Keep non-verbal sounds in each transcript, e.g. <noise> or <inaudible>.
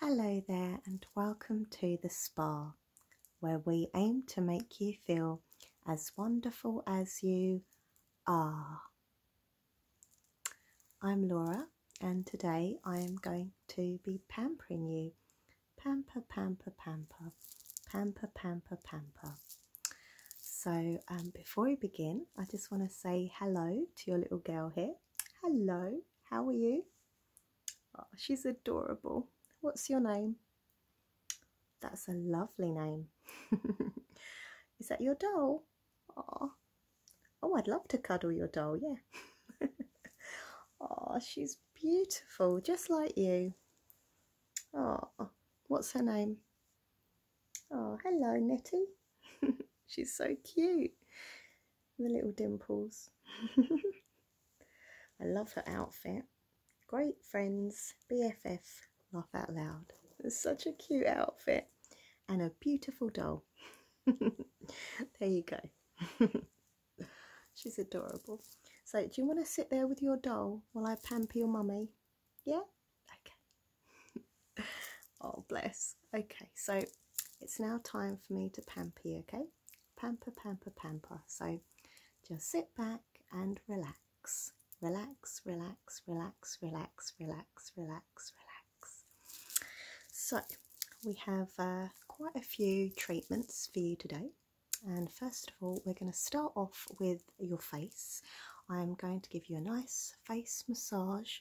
Hello there, and welcome to the spa, where we aim to make you feel as wonderful as you are. I'm Laura, and today I am going to be pampering you. Pamper, pamper, pamper, pamper, pamper, pamper. So, um, before we begin, I just want to say hello to your little girl here. Hello. How are you? Oh, she's adorable. What's your name? That's a lovely name. <laughs> Is that your doll? Oh, oh, I'd love to cuddle your doll, yeah. oh, <laughs> she's beautiful, just like you. Oh, what's her name? Oh, hello, Nettie. <laughs> she's so cute the little dimples. <laughs> I love her outfit. Great friends, BFF, laugh out loud. It's such a cute outfit and a beautiful doll. <laughs> there you go. <laughs> She's adorable. So do you want to sit there with your doll while I pamper your mummy? Yeah? Okay. Oh, bless. Okay, so it's now time for me to pamper okay? Pamper, pamper, pamper. So just sit back and relax. Relax, relax, relax, relax, relax, relax, relax. So we have uh, quite a few treatments for you today. And first of all, we're going to start off with your face. I'm going to give you a nice face massage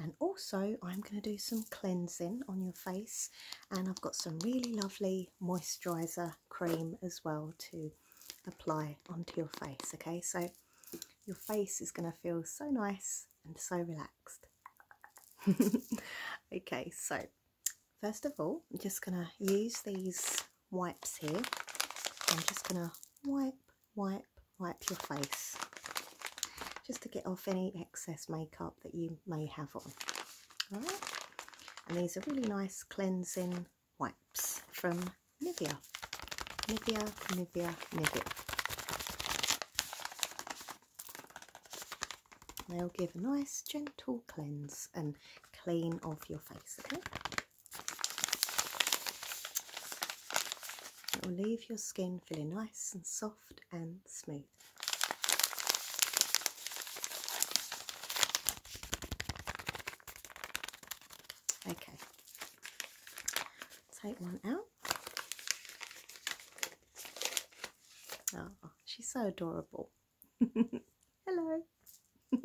and also I'm going to do some cleansing on your face and I've got some really lovely moisturizer cream as well to apply onto your face okay so your face is going to feel so nice and so relaxed <laughs> okay so first of all I'm just going to use these wipes here I'm just going to wipe wipe, wipe your face just to get off any excess makeup that you may have on. and these are really nice cleansing wipes from Nivea. Nivea, Nivea, Nivea. They'll give a nice gentle cleanse and clean off your face, okay? It will leave your skin feeling nice and soft and smooth. Okay, take one out. Oh, she's so adorable. <laughs> Hello. <laughs> okay.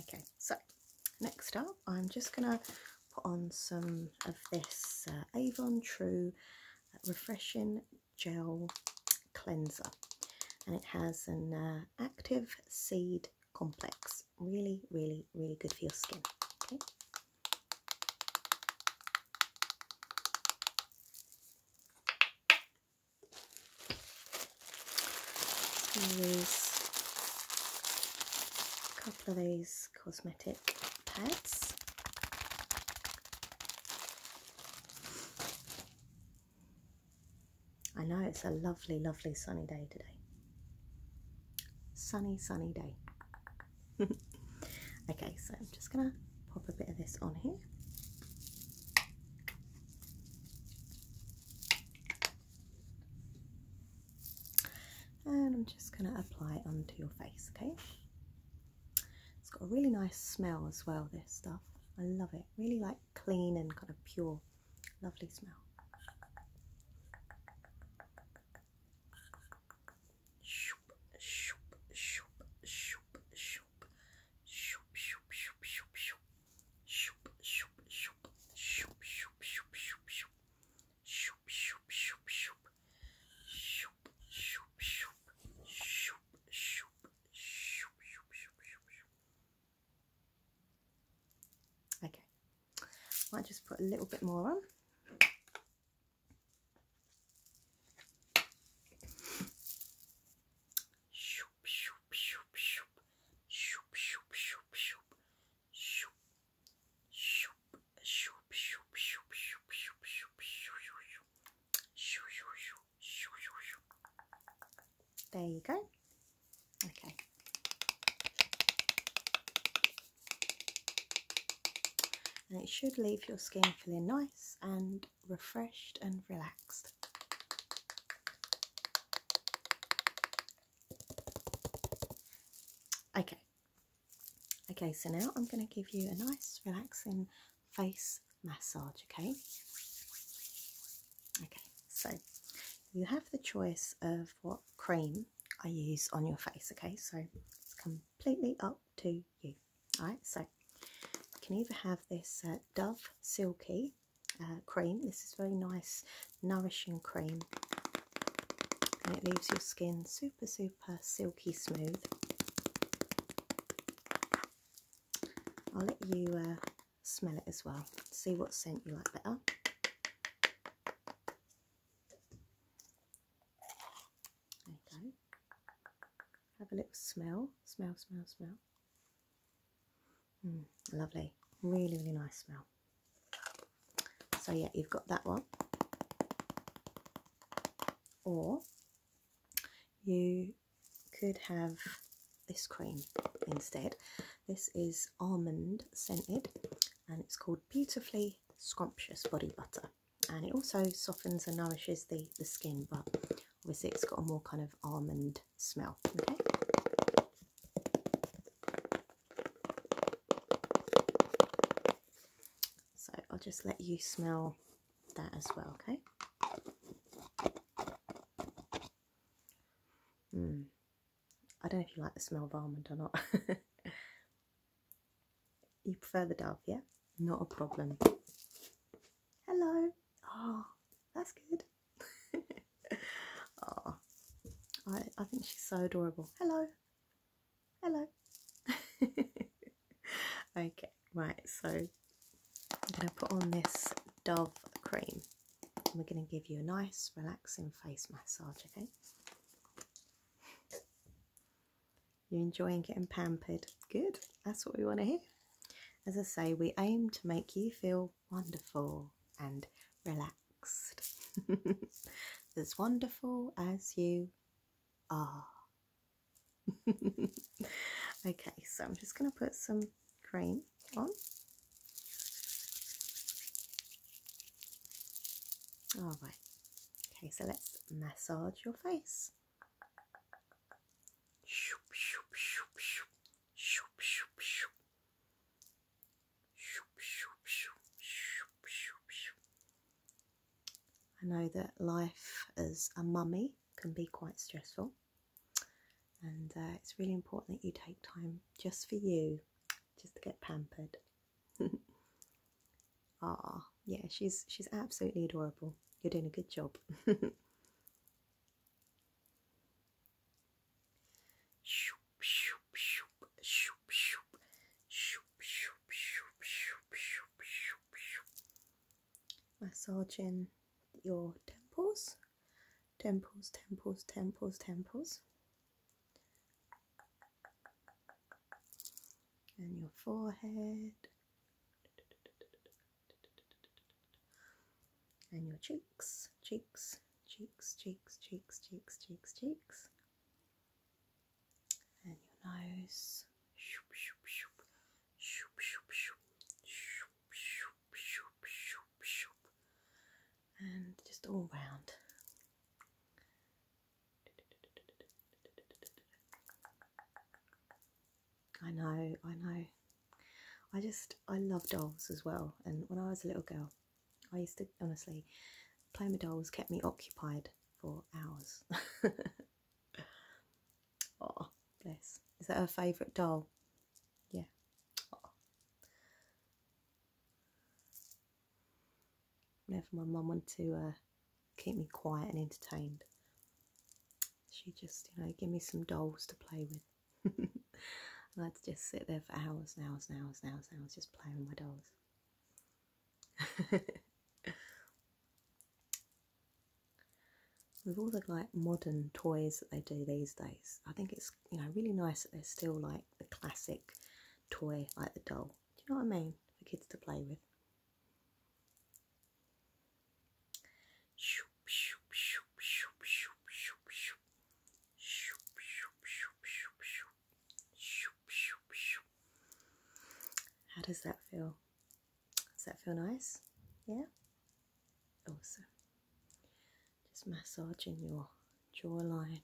Okay, so next up, I'm just going to put on some of this uh, Avon True uh, Refreshing Gel Cleanser. And it has an uh, active seed complex. Really, really, really good for your skin. Okay. These a couple of those cosmetic pads. I know it's a lovely, lovely sunny day today. Sunny, sunny day. <laughs> okay, so I'm just gonna pop a bit of this on here. And I'm just going to apply it onto your face, okay? It's got a really nice smell as well, this stuff. I love it. Really like clean and kind of pure. Lovely smell shoop, shoop, shoop, shoop, shoop, shoop, shoop, shoop, shoop, shoop, shoop, shoop, shoop, shoop. Shoop shoop shoop shoop shoop shoop shoop shoop shoop shoop shoop shoop shoop. Okay, might just put a little bit more on shoop shoop shoop shoop shoop shoop shoop shoop shoop shoop shoop shoop shoop shoop shoop shoop there you go. Okay. And it should leave your skin feeling nice and refreshed and relaxed. Okay, okay, so now I'm going to give you a nice relaxing face massage, okay? Okay, so you have the choice of what cream I use on your face, okay? So it's completely up to you, alright? So you can either have this uh, Dove Silky uh, cream. This is very nice, nourishing cream. And it leaves your skin super, super silky smooth. I'll let you uh, smell it as well. See what scent you like better. There you go. Have a little smell. Smell, smell, smell. Mm, lovely, really, really nice smell. So, yeah, you've got that one, or you could have this cream instead. This is almond scented and it's called Beautifully Scrumptious Body Butter and it also softens and nourishes the, the skin but Obviously it's got a more kind of almond smell, okay? So I'll just let you smell that as well, okay? Mm. I don't know if you like the smell of almond or not. <laughs> you prefer the dove, yeah? Not a problem. Hello. Oh, that's good. oh, <laughs> I, I think she's so adorable. Hello. Hello. <laughs> okay, right, so I'm going to put on this Dove cream. And we're going to give you a nice, relaxing face massage, okay? You're enjoying getting pampered. Good. That's what we want to hear. As I say, we aim to make you feel wonderful and relaxed, <laughs> as wonderful as you are. <laughs> okay, so I'm just going to put some cream on. All right. Okay, so let's massage your face. Shoop, shoop, shoop, shoop. Shoop, shoop, shoop. Shoop, shoop, shoop. Shoop, I know that life as a mummy can be quite stressful, and uh, it's really important that you take time just for you, just to get pampered. <laughs> Ah, yeah, she's she's absolutely adorable. You're doing a good job. <laughs> Shoop, shoop, shoop, shoop, shoop, shoop, shoop, shoop, shoop, shoop, shoop, shoop. Massaging your temples, temples, temples, temples, temples, and your forehead and your cheeks, cheeks, cheeks, cheeks, cheeks, cheeks, cheeks, cheeks, and your nose. And just all round. I know, I know. I just, I love dolls as well. And when I was a little girl, I used to, honestly, playing with dolls kept me occupied for hours. oh, <laughs> bless. Is that her favourite doll? Yeah. Oh. Whenever my mum wanted to uh, keep me quiet and entertained, she just, you know, give me some dolls to play with. <laughs> I'd just sit there for hours and hours and hours and hours just playing with my dolls. <laughs> with all the like modern toys that they do these days, I think it's you know really nice that they're still like the classic toy like the doll. Do you know what I mean? For kids to play with. How does that feel? Does that feel nice? Yeah? Also, Just massaging your jawline.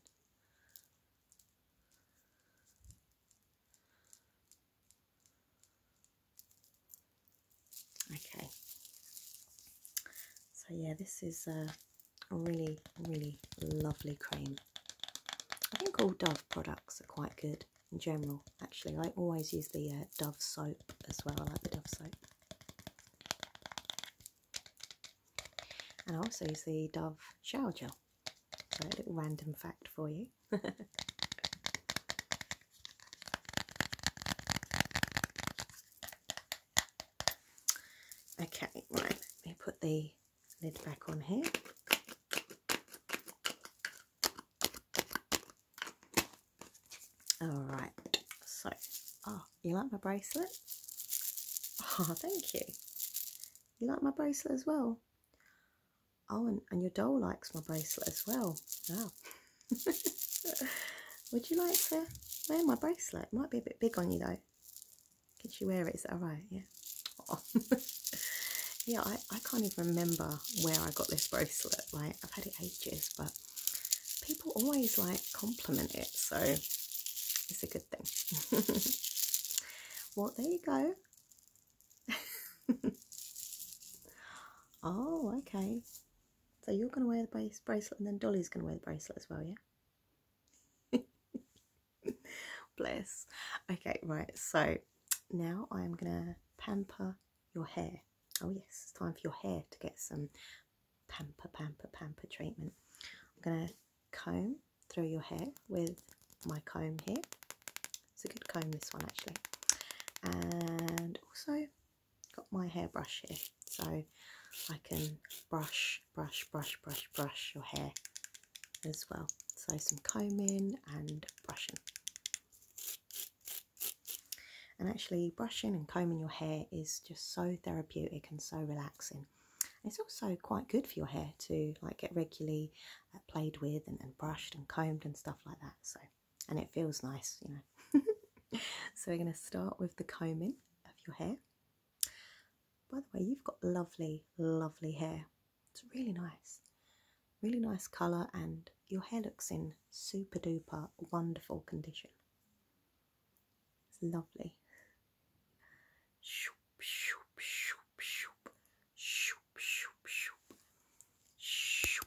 Okay. So yeah, this is a really, really lovely cream. I think all Dove products are quite good in general, actually. I always use the uh, Dove soap as well. I like the Dove soap. And I also use the Dove shower gel. a little random fact for you. <laughs> okay, right, let me put the lid back on here. All right, so, oh, you like my bracelet? <laughs> Oh, thank you. You like my bracelet as well? Oh, and, your doll likes my bracelet as well. Wow. <laughs> Would you like to wear my bracelet? might be a bit big on you though. Can she wear it? Is that right? Yeah. Oh. <laughs> yeah, I, I can't even remember where I got this bracelet. Like, I've had it ages, but people always like compliment it, so it's a good thing. <laughs> well, there you go. <laughs> oh, okay. So you're going to wear the bracelet and then Dolly's going to wear the bracelet as well, yeah? <laughs> Bless. Okay, right. So now I'm going to pamper your hair. Oh, yes, it's time for your hair to get some pamper, pamper, pamper treatment. I'm going to comb through your hair with my comb here. It's a good comb, this one actually. And also got my hairbrush here, so I can brush, brush, brush, brush, brush your hair as well. So some combing and brushing. And actually brushing and combing your hair is just so therapeutic and so relaxing. It's also quite good for your hair to like get regularly uh, played with and, and brushed and combed and stuff like that. So and it feels nice, you know. <laughs> so we're going to start with the combing of your hair. By the way, you've got lovely, lovely hair. It's really nice, really nice colour, and your hair looks in super duper wonderful condition. lovely. Shoop, shoop, shoop, shoop, shoop, shoop, shoop, shoop,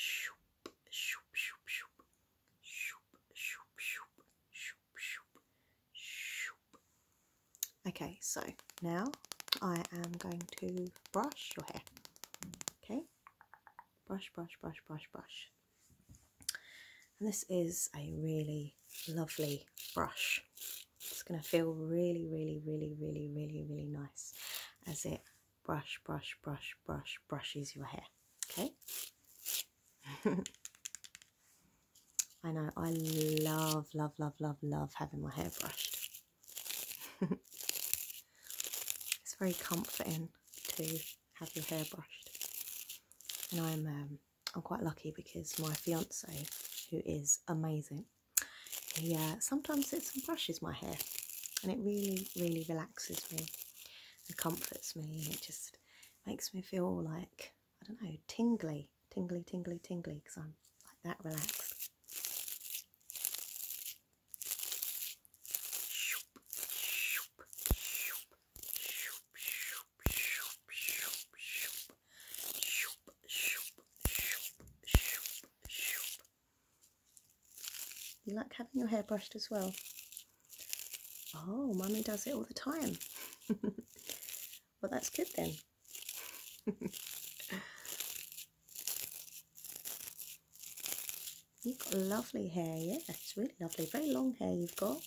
Shoop, shoop, shoop, shoop, shoop, shoop, shoop, shoop, shoop, Okay, so now I am going to brush your hair. Okay, brush, brush, brush, brush, brush. And this is a really lovely brush. It's going to feel really, really, really, really, really, really nice as it brush, brush, brush, brush, brushes your hair. Okay? <laughs> I know, I love, love, love, love, love having my hair brushed. <laughs> it's very comforting to have your hair brushed. And I'm um, I'm quite lucky because my fiance, who is amazing, he uh, sometimes sits and brushes my hair, and it really really relaxes me and comforts me. It just makes me feel like I don't know tingly, tingly, tingly, tingly because I'm like that relaxed. You like having your hair brushed as well? Oh, mummy does it all the time. <laughs> well, that's good then. <laughs> You've got lovely hair, yeah, That's really lovely. Very long hair you've got.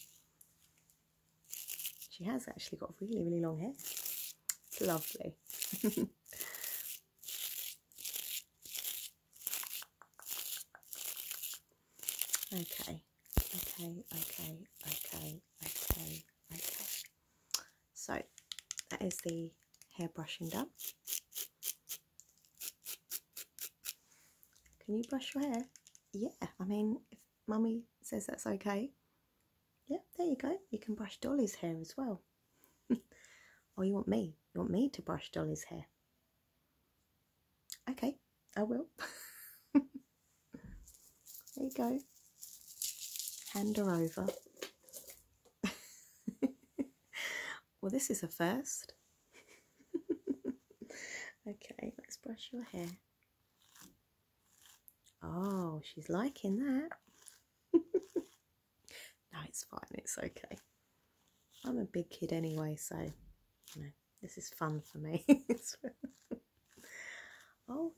She has actually got really, really long hair. lovely. <laughs> okay, okay, okay, okay, okay, okay. So that is the hair brushing done. Can you brush your hair? Yeah, I mean, if mummy says that's okay, yeah, there you go. You can brush Dolly's hair as well. <laughs> or oh, you want me? You want me to brush Dolly's hair? Okay, I will. <laughs> there you go. Hand her over. <laughs> Well, this is a first. <laughs> okay, let's brush your hair. Oh, she's liking that. <laughs> no, it's fine, it's okay. I'm a big kid anyway, so you know, this is fun for me. <laughs> oh,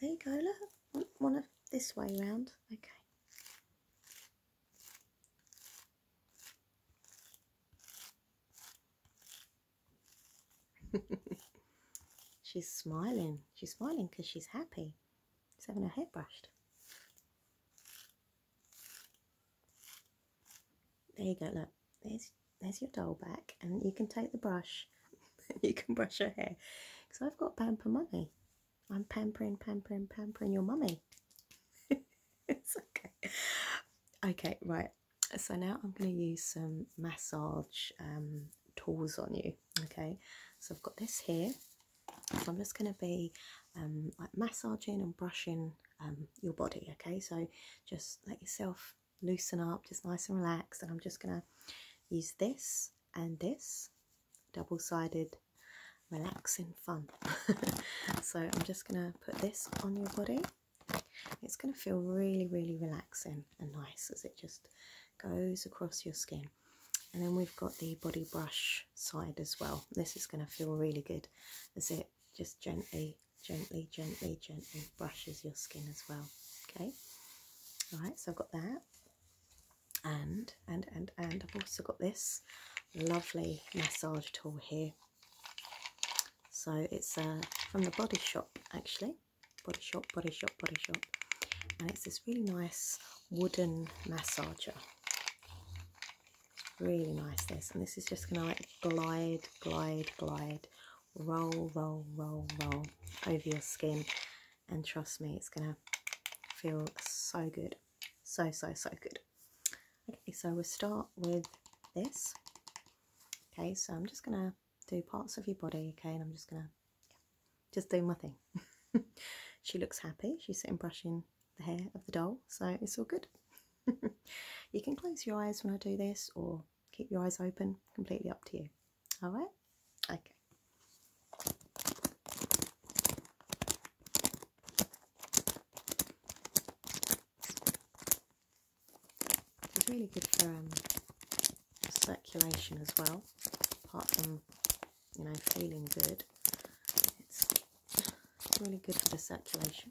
there you go, look. One of this way round. Okay. <laughs> she's smiling. She's smiling because she's happy. She's having her hair brushed. There you go, look. There's, there's your doll back and you can take the brush. <laughs> you can brush her hair. Because I've got pamper money. I'm pampering, pampering, pampering your mummy. <laughs> it's okay. Okay, right. So now I'm going to use some massage um, tools on you. Okay, so I've got this here. So I'm just going to be um, like massaging and brushing um, your body. Okay, so just let yourself loosen up, just nice and relaxed. And I'm just going to use this and this double-sided relaxing fun. <laughs> so I'm just going to put this on your body. It's going to feel really, really relaxing and nice as it just goes across your skin. And then we've got the body brush side as well. This is going to feel really good as it just gently, gently, gently, gently brushes your skin as well. Okay. All right, so I've got that and and and and I've also got this lovely massage tool here. So it's uh, from the Body Shop actually, Body Shop, Body Shop, Body Shop, and it's this really nice wooden massager. Really nice this, and this is just going to like glide, glide, glide, roll, roll, roll, roll over your skin, and trust me, it's going to feel so good, so so so good. Okay, so we start with this. Okay, so I'm just going to do parts of your body, okay, and I'm just going to just do my thing. <laughs> she looks happy. She's sitting brushing the hair of the doll, so it's all good. <laughs> you can close your eyes when I do this or keep your eyes open, completely up to you. All right? Okay. It's really good for um, circulation as well, apart from, you know, feeling good. It's really good for the circulation.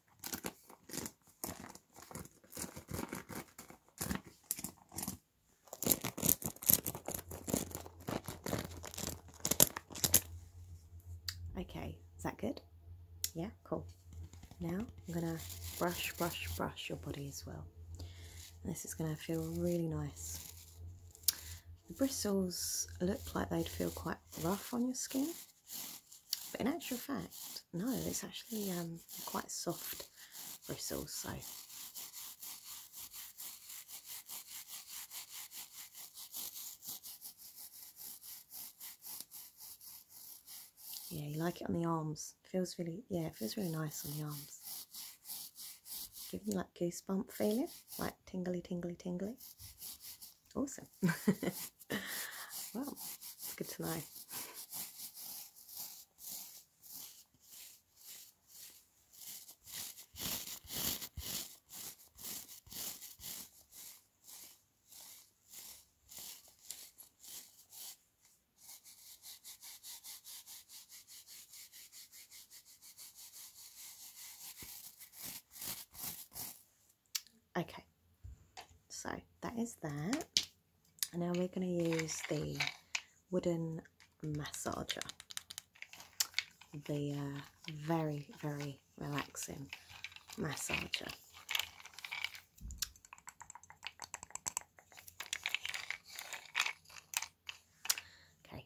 Okay, is that good? Yeah, cool. Now I'm gonna brush, brush, brush your body as well. this is gonna feel really nice. The bristles look like they'd feel quite rough on your skin, but in actual fact, no, it's actually um, quite soft bristles, so yeah, you like it on the arms. feels really, yeah, feels really nice on the arms. Giving you like goosebump feeling, like tingly, tingly, tingly. Awesome. <laughs> Well, it's good to know. Okay, so that is that. And now we're going to use the wooden massager. The uh, very, very relaxing massager. Okay.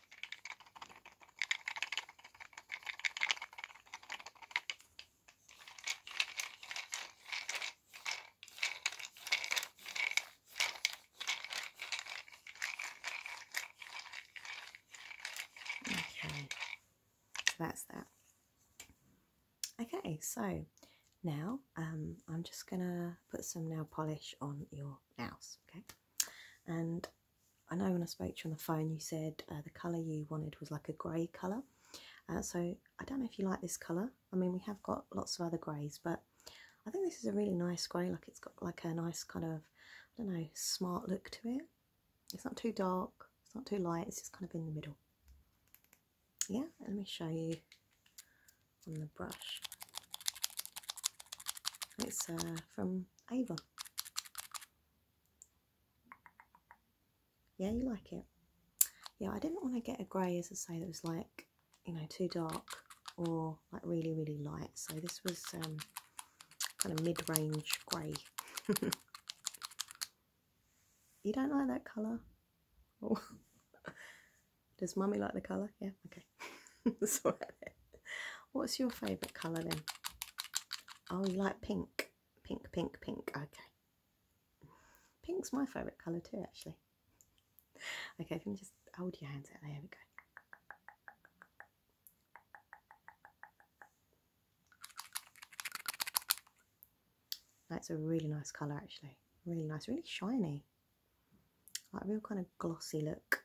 Okay, so that's that. Okay, so now um, I'm just gonna put some nail polish on your nails, okay? And I know when I spoke to you on the phone, you said uh, the colour you wanted was like a grey colour. Uh, so I don't know if you like this colour. I mean, we have got lots of other greys, but I think this is a really nice grey. Like it's got like a nice kind of, I don't know, smart look to it. It's not too dark. It's not too light. It's just kind of in the middle. Yeah, let me show you on the brush. It's uh, from Ava. Yeah, you like it. Yeah, I didn't want to get a grey, as I say, that was like, you know, too dark or like really, really light. So this was um, kind of mid-range grey. <laughs> you don't like that colour? <laughs> Does mummy like the colour? Yeah, okay. <laughs> What's your favourite colour then? Oh, you like pink? Pink, pink, pink. Okay. Pink's my favourite colour too, actually. Okay, can you just hold your hands out. There we go. That's a really nice colour actually. Really nice, really shiny. Like real kind of glossy look.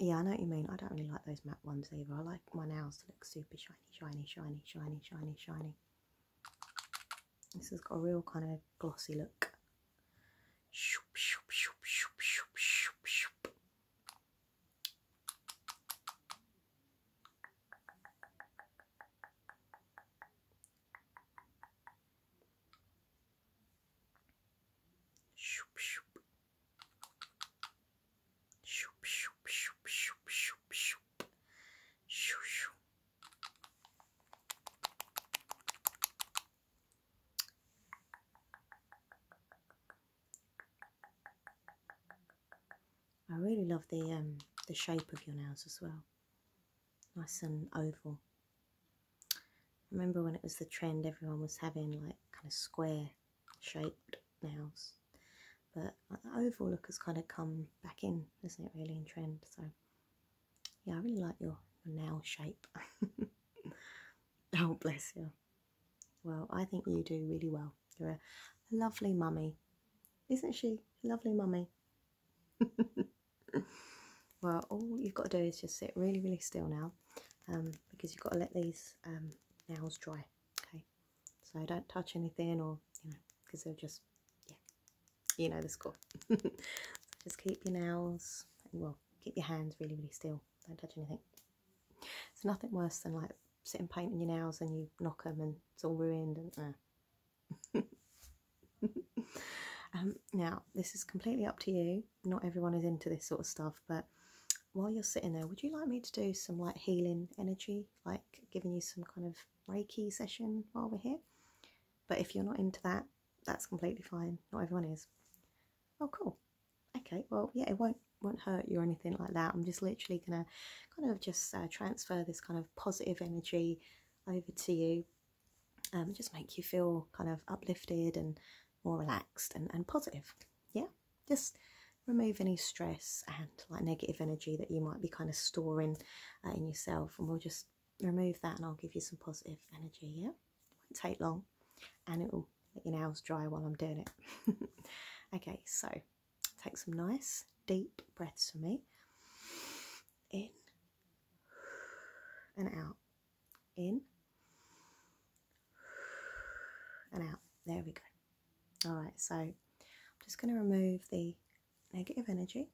Yeah, I know what you mean. I don't really like those matte ones either. I like my nails to look super shiny, shiny, shiny, shiny, shiny, shiny. This has got a real kind of glossy look. Shoop, shoop. Shoop, shoop, shoop, shoop, shoop, shoop. Shoo, I really love the um, the shape of your nails as well. Nice and oval remember when it was the trend, everyone was having like kind of square shaped nails. But the oval look has kind of come back in, isn't it, really, in trend? So, yeah, I really like your, nail shape. <laughs> oh, bless you. Well, I think you do really well. You're a, lovely mummy. Isn't she? lovely mummy. <laughs> well, all you've got to do is just sit really, really still now um, because you've got to let these um, nails dry. Okay, so don't touch anything or you know because they are just yeah, you know the score. <laughs> just keep your nails well, keep your hands really really still. Don't touch anything. It's nothing worse than like sitting painting your nails and you knock them and it's all ruined and. Uh. <laughs> Um, now this is completely up to you not everyone is into this sort of stuff, but while you're sitting there, would you like me to do some like healing energy, like giving you some kind of Reiki session while we're here? But if you're not into that, that's completely fine. Not everyone is. Oh, cool. Okay, well, yeah, it won't won't hurt you or anything like that. I'm just literally gonna kind of just uh, transfer this kind of positive energy over to you um, just make you feel kind of uplifted and more relaxed and, and positive. Yeah, just remove any stress and like negative energy that you might be kind of storing uh, in yourself, and we'll just remove that and I'll give you some positive energy. Yeah, it won't take long and it will let your nails dry while I'm doing it. <laughs> okay, so take some nice deep breaths for me in and out in and out. There we go. All right, so I'm just going to remove the negative energy.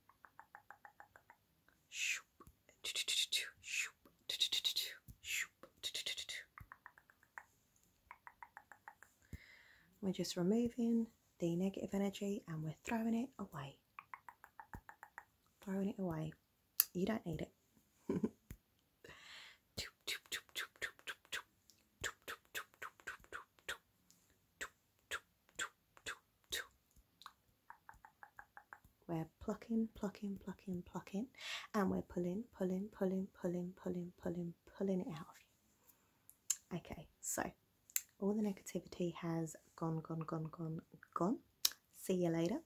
We're just removing the negative energy and we're throwing it away. Throwing it away. You don't need it. We're plucking, plucking, plucking, plucking, and we're pulling, pulling, pulling, pulling, pulling, pulling, pulling it out Okay, so all the negativity has gone, gone, gone, gone, gone. See you later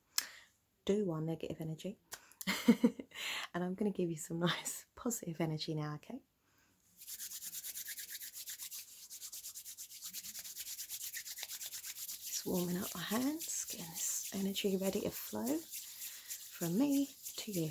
do one negative energy <laughs> and I'm going to give you some nice <laughs> positive energy now, okay? Just warming up my hands, getting this energy ready to flow from me to you.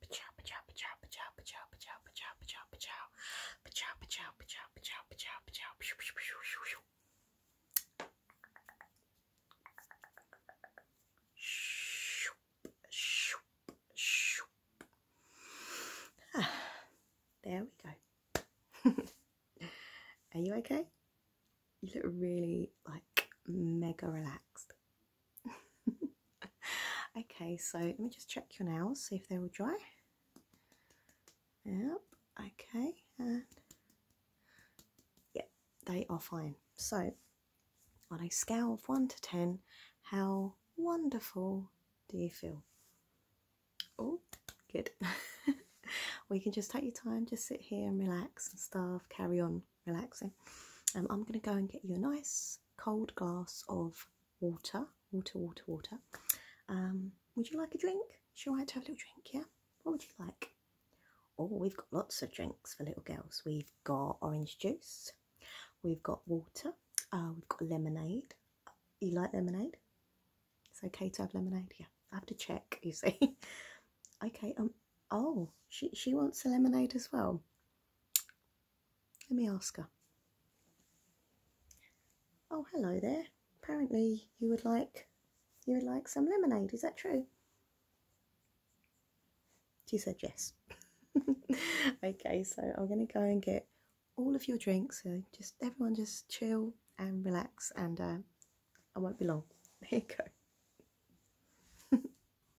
Pachow, pachow, pachow, pachow, pachow, pachow, pachow, pachow, pachow, pachow, pachow, pachow, pachow, pachow, pachow, pachow, pachow, pachow, there we go. Are you okay? You look really like mega relaxed. <laughs> okay, so let me just check your nails, see if they're all dry. Yep, okay, and yep, they are fine. So, on a scale of 1 to 10, how wonderful do you feel? Oh, good. <laughs> we can just take your time, just sit here and relax and stuff, carry on relaxing. Um, I'm going to go and get you a nice cold glass of water. Water, water, water. Um, would you like a drink? Sure, I right have a little drink, yeah? What would you like? Oh, we've got lots of drinks for little girls. We've got orange juice. We've got water. Uh, we've got lemonade. You like lemonade? It's okay to have lemonade, yeah. I have to check, you see. <laughs> okay, um, oh, she, she wants a lemonade as well. Let me ask her. Oh, hello there. Apparently you would like you would like some lemonade, is that true? She said yes. <laughs> okay, so I'm gonna go and get all of your drinks. So just everyone just chill and relax and uh, I won't be long. <laughs> Here you go. <laughs>